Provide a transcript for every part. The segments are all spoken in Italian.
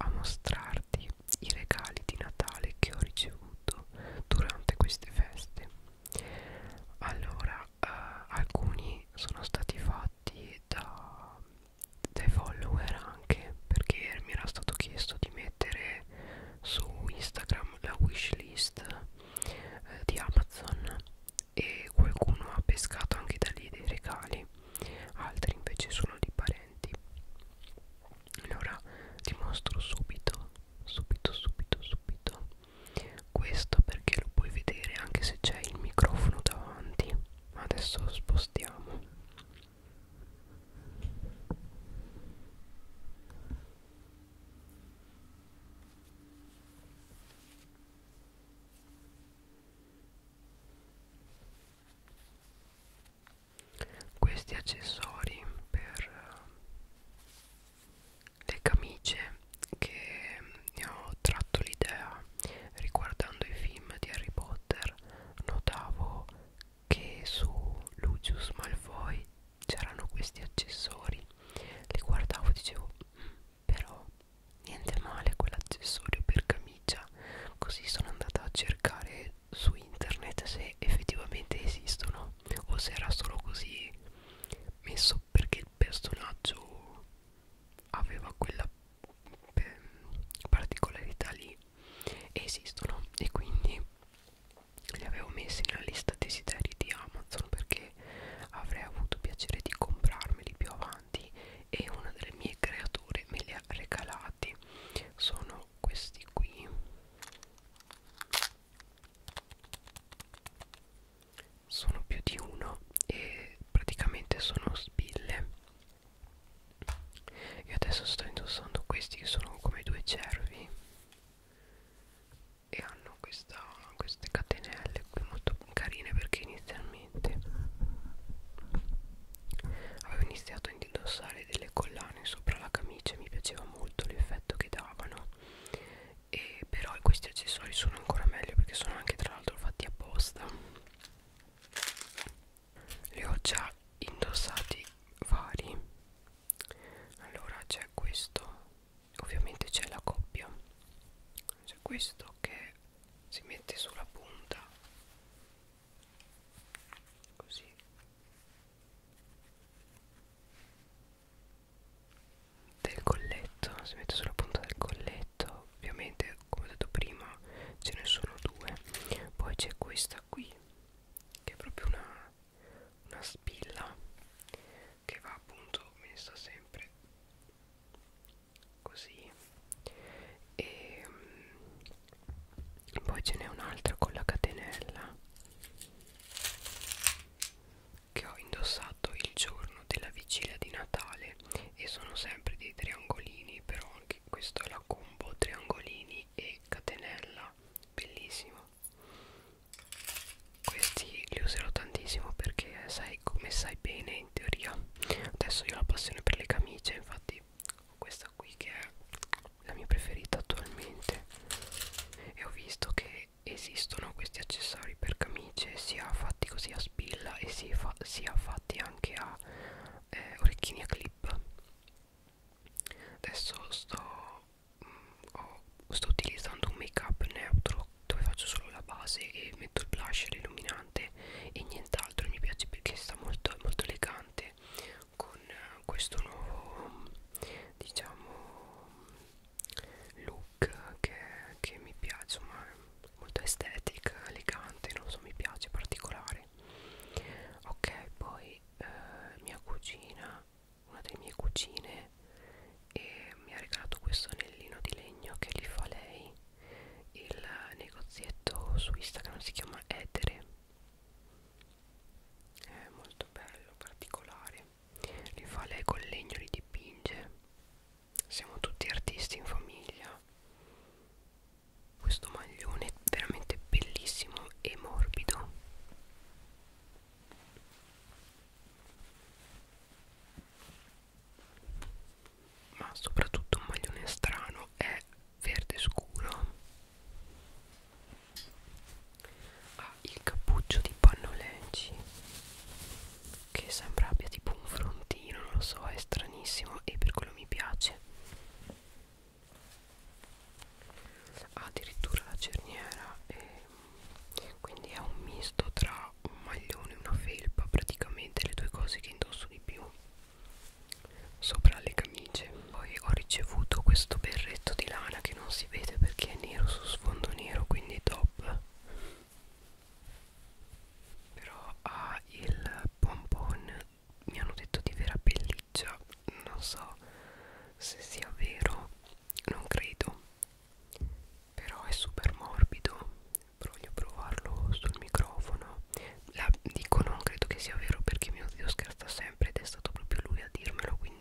a mostrarti i regali di Natale che ho ricevuto durante queste feste. Allora, eh, alcuni sono stati fatti da, dai follower anche perché mi era stato chiesto di mettere su Instagram la wishlist eh, di Amazon e qualcuno ha pescato anche da lì dei regali, altri invece sono di parenti commenti allora ti mostro subito subito subito subito questo perché lo puoi vedere anche se c'è il microfono davanti adesso lo spostiamo questi accessori per eh, le camicie che ne mm, ho tratto l'idea riguardando i film di Harry Potter notavo che su Lucius Malfoy c'erano questi accessori li guardavo e dicevo mm, però niente male quell'accessorio per camicia così sono andata a cercare su internet se effettivamente esistono o se era solo così messo perché il personaggio aveva quella ehm, particolarità lì esistono e quindi li avevo messi nella lista desideri di Amazon perché avrei avuto piacere di comprarmeli più avanti e una delle mie creature me li ha regalati usati sono questi qui sono più di uno e praticamente sono spille io adesso sto indossando questi che sono come due cervi e hanno questa, queste catenelle qui molto carine perché inizialmente avevo iniziato a indossare delle collane sopra la camicia e mi piaceva molto l'effetto che davano e però questi accessori sono ancora meglio perché sono anche tra l'altro fatti apposta li ho già indossati vari allora c'è questo ovviamente c'è la coppia c'è questo che si mette sulla punta così del colletto si mette sulla punta del colletto ovviamente come ho detto prima ce ne sono due poi c'è questa qui che è proprio una, una spilla che va appunto messa sempre così e mm, poi ce n'è un'altra con la catenella che ho indossato il giorno della vigilia di Natale e sono sempre dei triangolini però anche questa è la combo triangolini e catenella bellissimo questi li userò tantissimo perché sai come sai bene in teoria adesso io ho la passione per le camicie infatti quindi questa qui che è la mia preferita attualmente e ho visto che esistono questi accessori per camicie sia fatti così a spilla e sia, fa sia fatti anche a eh, orecchini a clip adesso sto, mh, mm, ho, sto utilizzando un make up neutro dove faccio solo la base e metto il blush e l'illuminante e nient'altro l'altro mi piace perché sta molto, molto elegante con eh, questo nuovo diciamo look che, che mi piace insomma molto estetica elegante non so mi piace particolare ok poi eh, mia cugina una delle mie cugine e mi ha regalato questo anellino di legno che li fa lei il negozietto su Instagram si chiama Etere è molto bello, particolare li fa lei col legno, li dipinge siamo tutti artisti in famiglia questo maglione è veramente bellissimo e morbido ma soprattutto un maglione strano è verde scuro ha il cappuccio di panno leggi che sembra abbia tipo un frontino non lo so è stranissimo e per quello mi piace ha addirittura la cerniera e quindi è un misto tra un maglione e una felpa praticamente le due cose che indosso di più sopra le camicie poi ho ricevuto questo berretto di lana che non si vede perché è nero su sfondo nero quindi top però ha ah, il pompon mi hanno detto di vera pelliccia non so se sia vero non credo però è super morbido voglio provarlo sul microfono La, dico non credo che sia vero perché mio zio scherza sempre ed è stato proprio lui a dirmelo quindi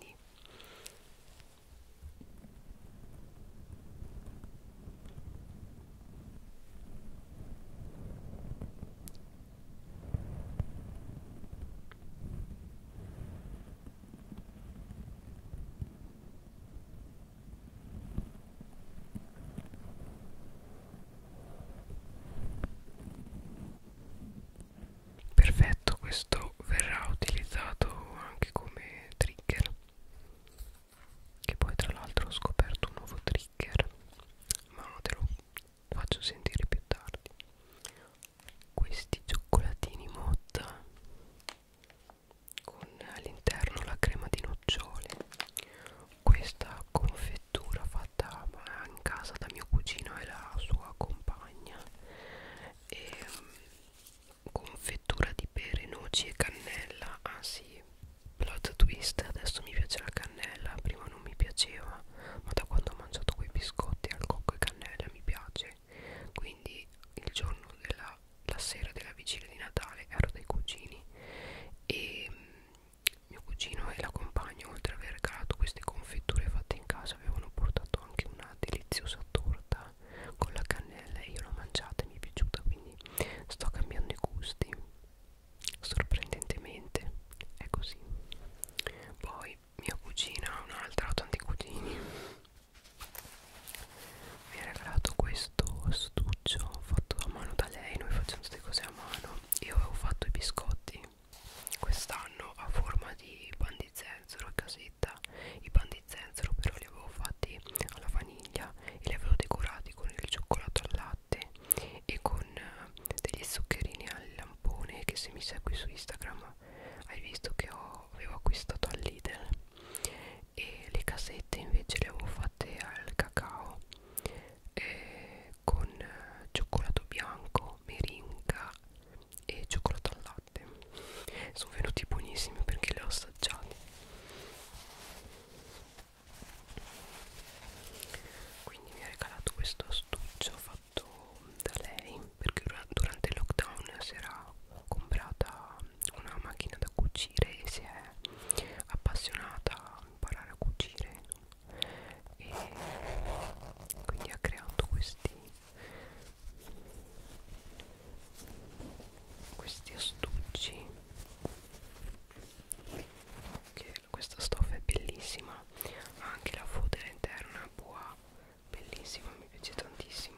Perfetto, questo verrà utilizzato anche come trigger. Che poi tra l'altro ho scoperto un nuovo trigger, ma te lo faccio sentire più tardi. Questi cioccolatini motta con all'interno la crema di nocciole questa confettura fatta in casa da mio cugino e la sua compagna e, mm, confettura di pere, noci e cannella ah sì, plot twist adesso mi piace la cannella prima non mi piaceva ma da quando ho mangiato quei biscotti al cocco e cannella mi piace quindi il giorno della casa la sera della vigilia di Natale ero dai cugini e mm, mio cugino e la compagna oltre ad aver regalato queste confetture fatte in casa avevano portato anche una deliziosa torta con la cannella e io l'ho mangiata e mi è piaciuta quindi sto cambiando i gusti sorprendentemente è così poi mia cugina un'altra ho tanti cugini mi ha regalato questo astuccio fatto a mano da lei noi facciamo queste cose a mano io avevo fatto i biscotti quest'anno a forma di pan di zenzero e casetta i pan di zenzero però li avevo fatti alla vaniglia e li avevo decorati con il cioccolato al latte e con eh, degli zuccherini al lampone che se mi segui su Instagram hai visto che ho, avevo acquistato all'Idel e le casette invece le avevo fatte al cacao eh, con eh, cioccolato bianco, meringa e cioccolato al latte sono venuti buonissimi perché le ho assaggiate quindi mi ha regalato questo astuccio fatto da lei perché durante il lockdown si era comprata una macchina da cucire e si è appassionata a imparare a cucire e quindi ha creato questi questi astucci che questa stoffa è bellissima ha anche la fodera interna boa bellissima mi piace tantissimo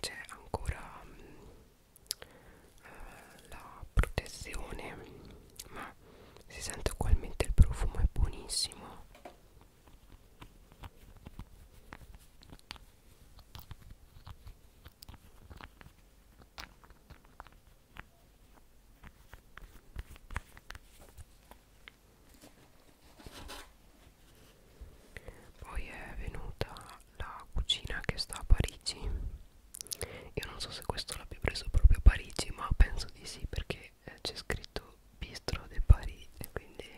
c'è ancora mm, eh, la protezione ma si sente ugualmente il profumo è buonissimo poi è venuta la cucina che sta a Parigi io non so se questo l'abbia preso proprio a Parigi ma penso di sì perché eh, c'è scritto bistro de Parigi quindi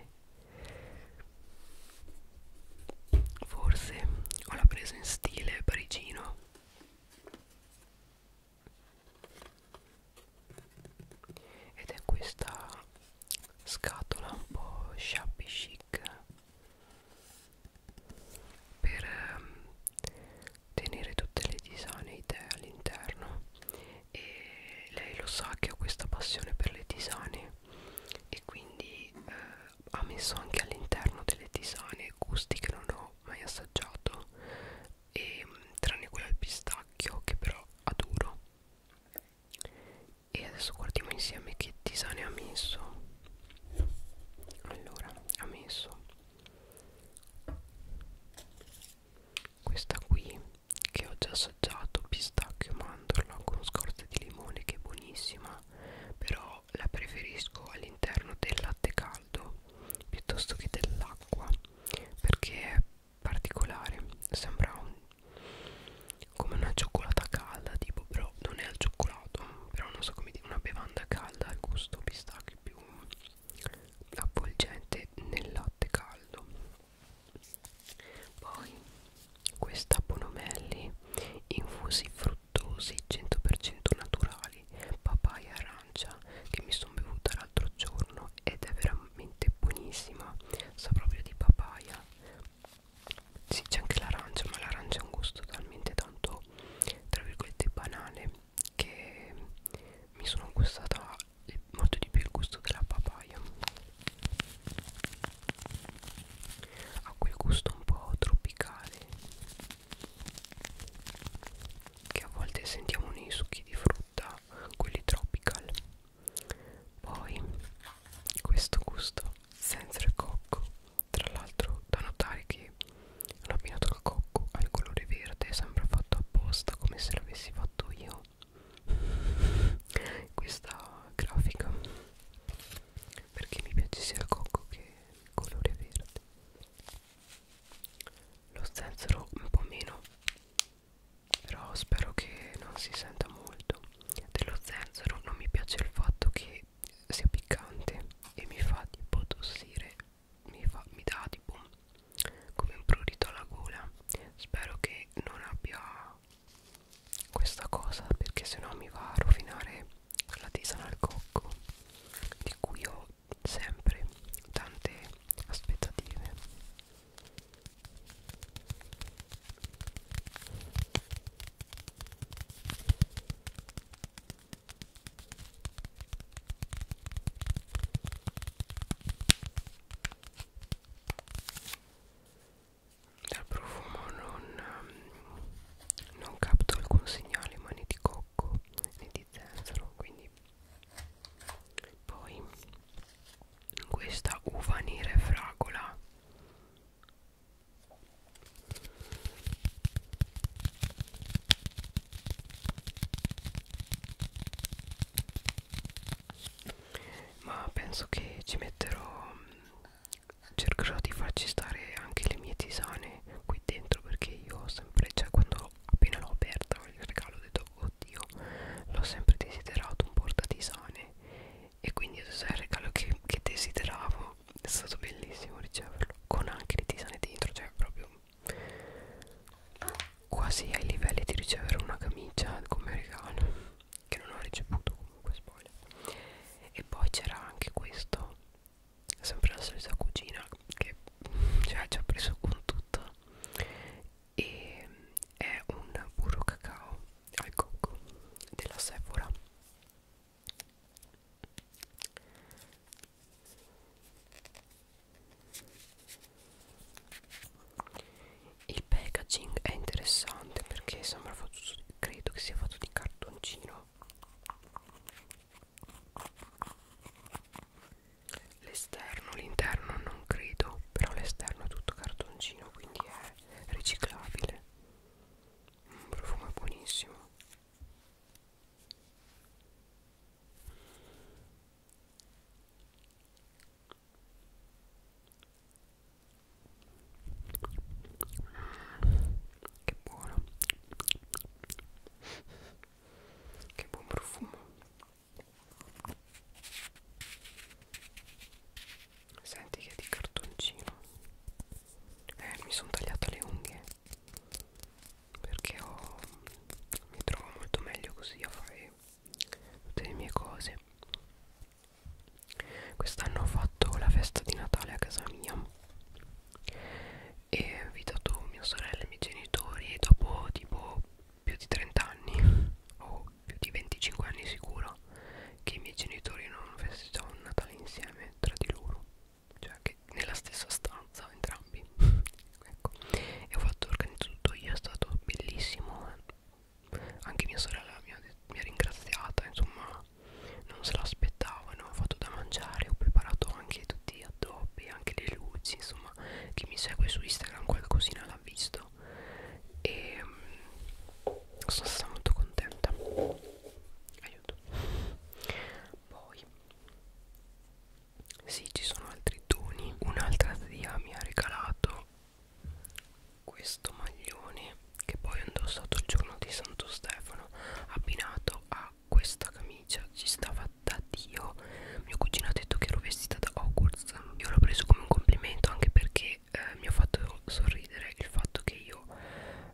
forse o l'ha preso in stile parigino ed è questa scatola un po' shabby chic per ehm, tenere tutte le disane idee all'interno e lei lo sa che ho questa passione per le tisane e quindi eh, ha messo anche all'interno delle tisane gusti che non ho mai assaggiato e, ehm, tranne quella al pistacchio che però adoro e adesso guardiamo insieme che tisane ha messo allora ha messo questa qui che ho già assaggiato pistacchio mandorla con scorza di limone che è buonissima però la preferisco all'interno del latte caldo piuttosto che dell'acqua perché è particolare sembra un, come una cioccolata calda tipo però non è al cioccolato però non so come dire una bevanda calda al gusto pistacchio più avvolgente nel latte caldo poi questa Bonomelli infusi fruttosi 100% naturali papaya e arancia che mi sono bevuta l'altro giorno ed è veramente veramente buonissima sa proprio di papaya sì c'è anche l'arancia ma l'arancia ha un gusto talmente tanto tra virgolette banale che mi sono gustata molto di più il gusto della papaya ha quel gusto un po' tropicale che a volte sentiamo nei succhi di frutta da quelli tropical poi questo gusto senza il cocco tra l'altro da notare che hanno abbinato il cocco al colore verde sembra fatto apposta come se l'avessi fatto io questa grafica perché mi piace sia il cocco che il colore verde lo zenzero un po' meno però spero che non si senta molto dello zenzero non mi piace il fatto che sia piccante e mi fa tipo tossire mi, fa, mi dà tipo come un prurito alla gola spero che non abbia questa cosa perché sennò mi va a rovinare la tisana al cocco di cui ho sempre tante aspettative dal profumo non, ehm, non capto alcun segnale, ma né di cocco né di zenzero, quindi poi questa uva nera e fragola ma penso che ci metterò cercherò di farci stare anche le mie tisane qui dentro perché io ho sempre cioè quando appena l'ho aperta il regalo ho detto oddio l'ho sempre desiderato un portatisane e quindi adesso è il regalo che, che desideravo è stato bellissimo riceverlo con anche le tisane dentro cioè proprio quasi ai livelli di ricevere una camicia come regalo che non ho ricevuto comunque spoiler e poi c'era anche questo sempre la solita cugina che cioè, ci ha preso con tutto e è un burro cacao al cocco della Sephora il packaging è interessante perché sembra fatto credo che sia fatto di cartoncino L'esterno, l'interno non credo, però l'esterno è tutto cartoncino, quindi è riciclabile. Un mm, profumo è buonissimo. Mm, che buono, che buon profumo. Senti che è di cartoncino. Eh, mi sono tagliata le unghie. Perché ho, mi trovo molto meglio così a fare tutte le mie cose. Quest'anno ho fatto la festa di Natale a casa mia e ho invitato mia sorella e i miei genitori e dopo tipo più di 30 anni o più di 25 anni sicuro che i miei genitori non festeggiavano Natale insieme tra di loro cioè che nella stessa stanza entrambi ecco e ho fatto organizzato tutto io è stato bellissimo anche mia sorella mi ha, mi ha ringraziata insomma non se l'aspettavano ho fatto da mangiare ho preparato anche tutti gli addobbi anche le luci insomma chi mi segue su Instagram qualcosina l'ha visto e um, sono stata molto contenta aiuto poi sì ci sono altri doni un'altra zia mi ha regalato questo maglione che poi ho indossato il giorno di Santo Stefano abbinato a questa camicia ci stava da Dio mio cugino ha detto che ero vestita da Hogwarts forza io l'ho preso come un complimento anche perché eh, mi ha fatto sorridere il fatto che io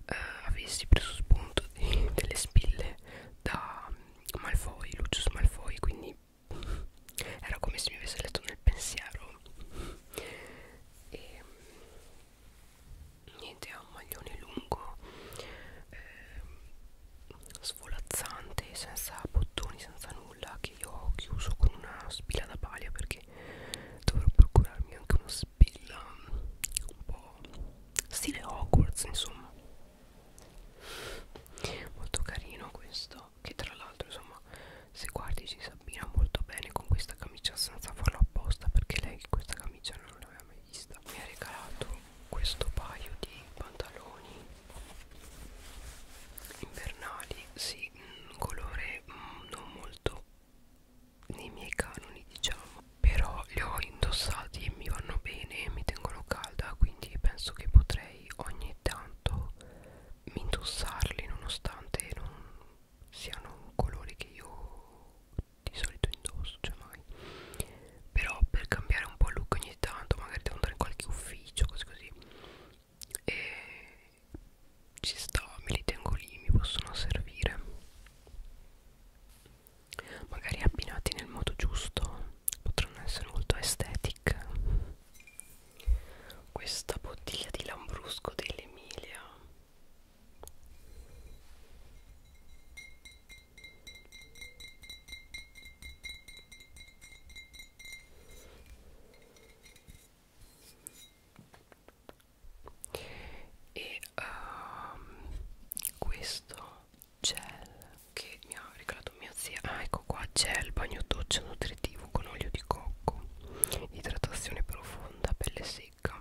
eh, avessi preso spunto di, delle spille da Malfoy, Lucius Malfoy quindi era come se mi avesse letto nel pensiero e niente ha un maglione lungo eh, svolazzante senza bottoni senza nulla che io ho chiuso con una spilla da paglia perché dovrò procurarmi anche una spilla mm, un po' stile Hogwarts insomma molto carino questo che tra l'altro insomma se guardi ci si abbina molto bene con questa camicia senza farlo apposta perché lei questa camicia non l'aveva mai vista mi ha regalato questo paio di pantaloni invernali sì, un colore mm, non molto nei miei canoni diciamo però li ho indossati e mi vanno bene mi tengono calda quindi penso che potrei ogni tanto indossarli nonostante non siano un colore che io di solito indosso cioè mai però per cambiare un po' il look ogni tanto magari devo andare in qualche ufficio cose così e ci sto me li tengo lì mi possono servire magari abbinati nel modo giusto potranno essere molto estetic questa bottiglia di lambrusco dell'Emilia e um, questo gel che mi ha regalato mia zia ah ecco qua gel bagno doccia nutritivo con olio di cocco idratazione profonda pelle secca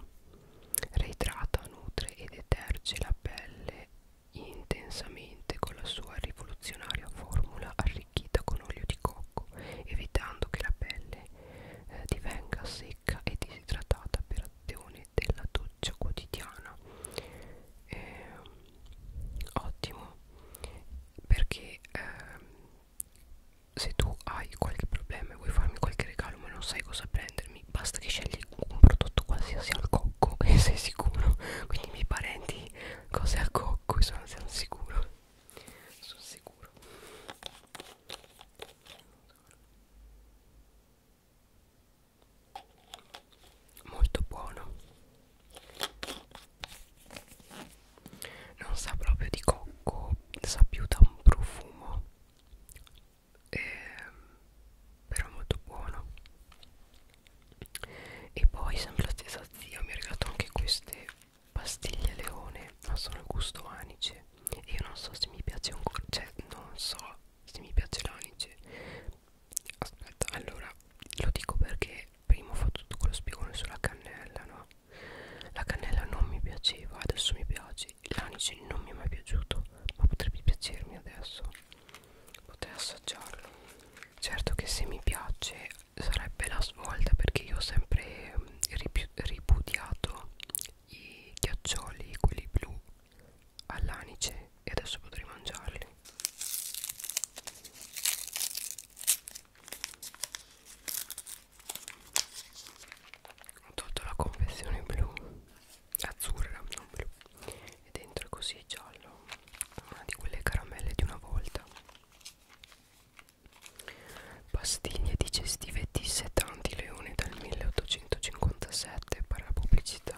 reidrata nutre e deterge la pelle intensamente con la sua rivoluzionaria formula arricchita con olio di cocco, evitando che la pelle eh, divenga secca e disidratata per azione della doccia quotidiana. Eh, ottimo perché eh, se tu hai qualche problema e vuoi farmi qualche regalo ma non sai cosa prendermi, basta che scegli metti un prodotto qualsiasi al cocco e sei sicuro quindi i miei parenti cose al cocco e sono, sono sicuro sono sicuro molto buono non sa proprio di cocco sa più da un profumo eh, però molto buono e poi sempre la stessa zia mi ha regalato anche queste pastiglie leone ma sono il gusto anice e io non so se mi piace ancora cioè non so se mi piace l'anice aspetta allora lo dico perché prima ho fatto tutto quello spiegone sulla cannella no la cannella non mi piaceva adesso mi piace l'anice non mi è mai piaciuto ma potrebbe piacermi adesso potrei assaggiarlo certo che se mi piace sarebbe la svolta perché io ho sempre mm, ripudiato i ghiaccioli quelli blu all'anice e adesso potrei mangiarli ho tolto la confezione blu azzurra non blu e dentro è così giallo una di quelle caramelle di una volta pastiglie digestive di setanti leone dal 1857 per la pubblicità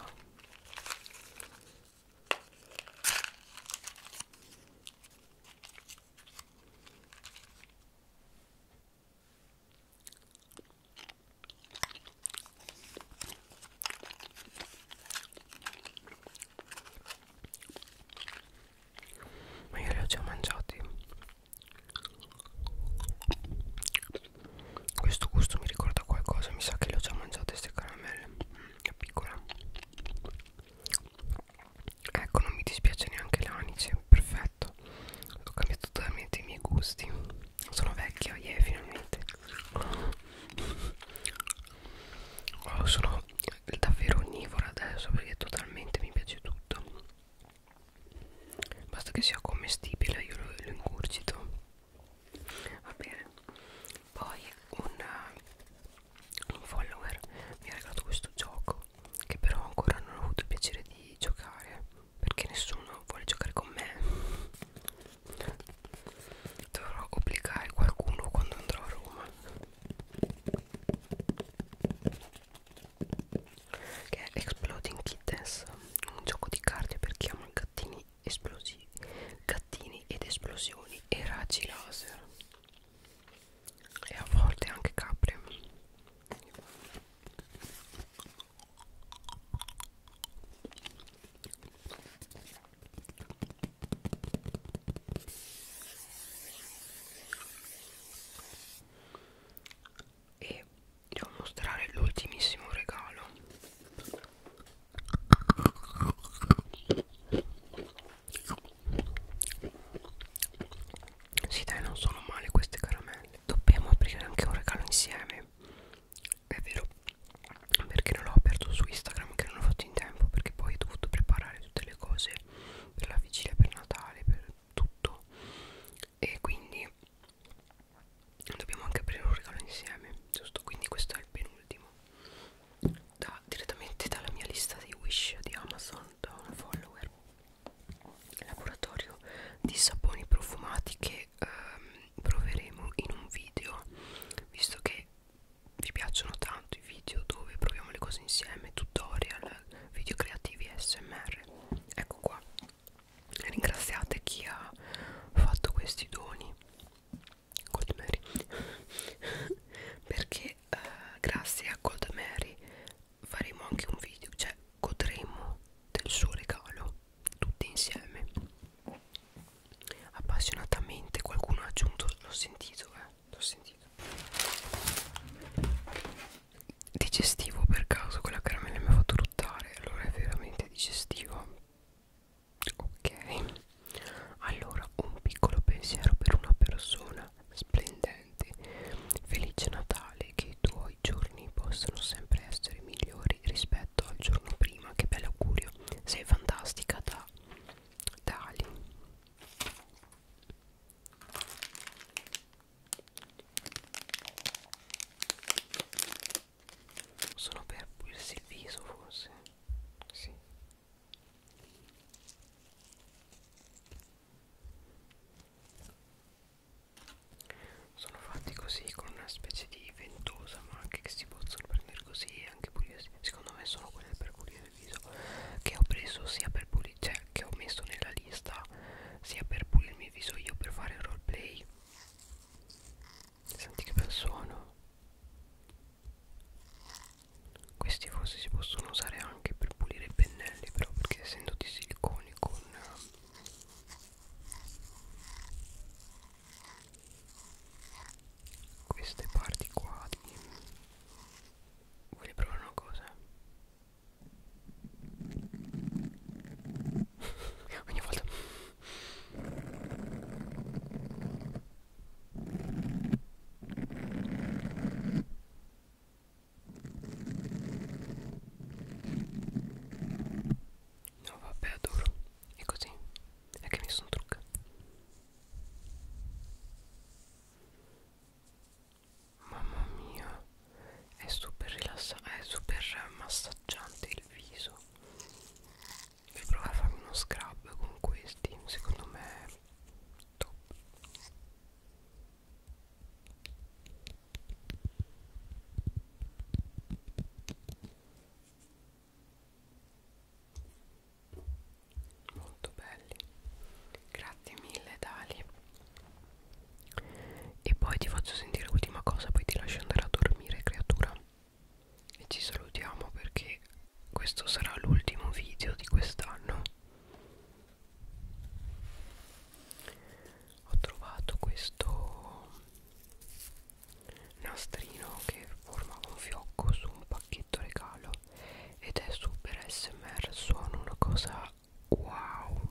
ma io li ho già mangiati questo gusto mi ricorda qualcosa mi sa che le ho già mangiate queste caramelle da mm, piccola ecco non mi dispiace neanche l'anice perfetto ho cambiato totalmente i miei gusti sono vecchio, yeah, finalmente. Oh, sono davvero onnivora adesso perché totalmente mi piace tutto. Basta che sia commestibile, io lo, lo ingurgito. Va bene. Poi un, uh, un follower mi ha regalato questo gioco che però ancora non ho avuto il piacere di giocare perché nessuno vuole giocare con me dovrò obbligare qualcuno quando andrò a Roma che è Exploding Kittens un gioco di carte per chi ama gattini esplosivi gattini ed esplosioni e raggi laser e a volte anche capre e devo mostrare l'ultimissimo regalo sì dai non sono male queste caramelle dobbiamo aprire anche un regalo insieme è vero perché non l'ho aperto su Instagram che non l'ho fatto in tempo perché poi ho dovuto preparare tutte le cose per la vigilia per Natale per tutto e quindi dobbiamo anche aprire un regalo insieme giusto quindi questo è il penultimo da, direttamente dalla mia lista di wish di Amazon da un follower laboratorio di saponi profumati che ehm, proveremo in un video visto che vi piacciono tanto i video dove proviamo le cose insieme tutorial video creativi smr ecco qua ringraziate chi ha fatto questi doni Gold Mary perché eh, grazie a Gold Mary faremo anche un video cioè godremo del suo regalo tutte insieme appassionatamente qualcuno ha aggiunto l'ho sentito eh l'ho sentito digestivo per caso quella caramella mi ha fatto ruttare allora è veramente digestivo ok allora un piccolo pensiero per una persona splendente felice natale che i tuoi i giorni possono sempre essere migliori rispetto al giorno prima che bello augurio sei fantastica da Dali sono per pulirsi il viso forse sì sono fatti così con una specie di ventosa ma anche che si possono prendere così e anche pulire secondo me sono quelle per pulire il viso che ho preso sia per pulire cioè che ho messo nella lista sia per pulirmi il viso io per fare il roleplay senti che bel suono questi forse si possono usare anche per pulire i pennelli però perché essendo di silicone con queste parti qua di... voglio provare una cosa ogni volta No vabbè adoro È così È che mi sono truccata Mamma mia È super rilassante È super massaggiante il viso Devo provare a fare uno scrub con questi Secondo me è top molto belli grazie mille Dali e poi ti faccio sentire l'ultima cosa poi ti lascio andare a dormire creatura e ci salutiamo perché questo sarà l'ultimo video di quest'anno ho trovato questo nastrino che formava un fiocco su un pacchetto regalo ed è super smr suona una cosa wow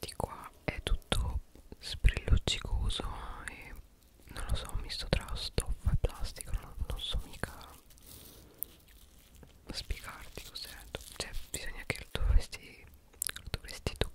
di qua è tutto sprilloccicoso e non lo so, misto tra stoffa e plastica, non, non so mica spiegarti cos'è, cioè bisogna che lo dovresti, lo dovresti toccare.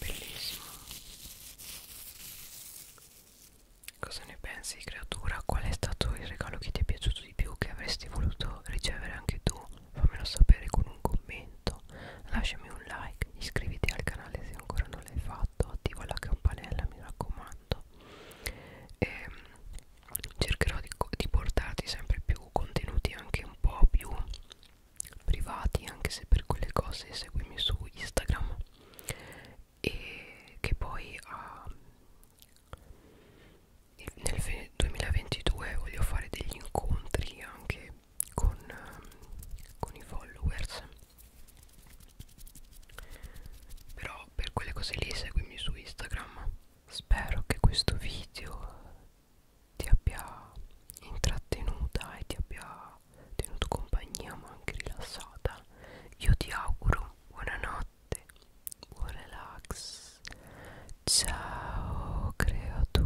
Bellissimo. Cosa ne pensi, creatura? Qual è stato il regalo che ti è piaciuto di più? Che avresti voluto ricevere anche tu? Fammelo sapere con un commento. Lasciami un like, iscriviti al canale se ancora non l'hai fatto 8 attiva la campanella mi raccomando e ehm, cercherò di, di portarti sempre più contenuti anche un po' più privati anche se per quelle cose seguimi su Instagram e che poi uh, nel 2022 voglio fare degli incontri anche con, ehm, con i followers però per quelle cose lì seguimi su Instagram spero che questo video ti abbia intrattenuta e ti abbia tenuto compagnia ma anche rilassata io ti auguro buonanotte buon relax ciao creatura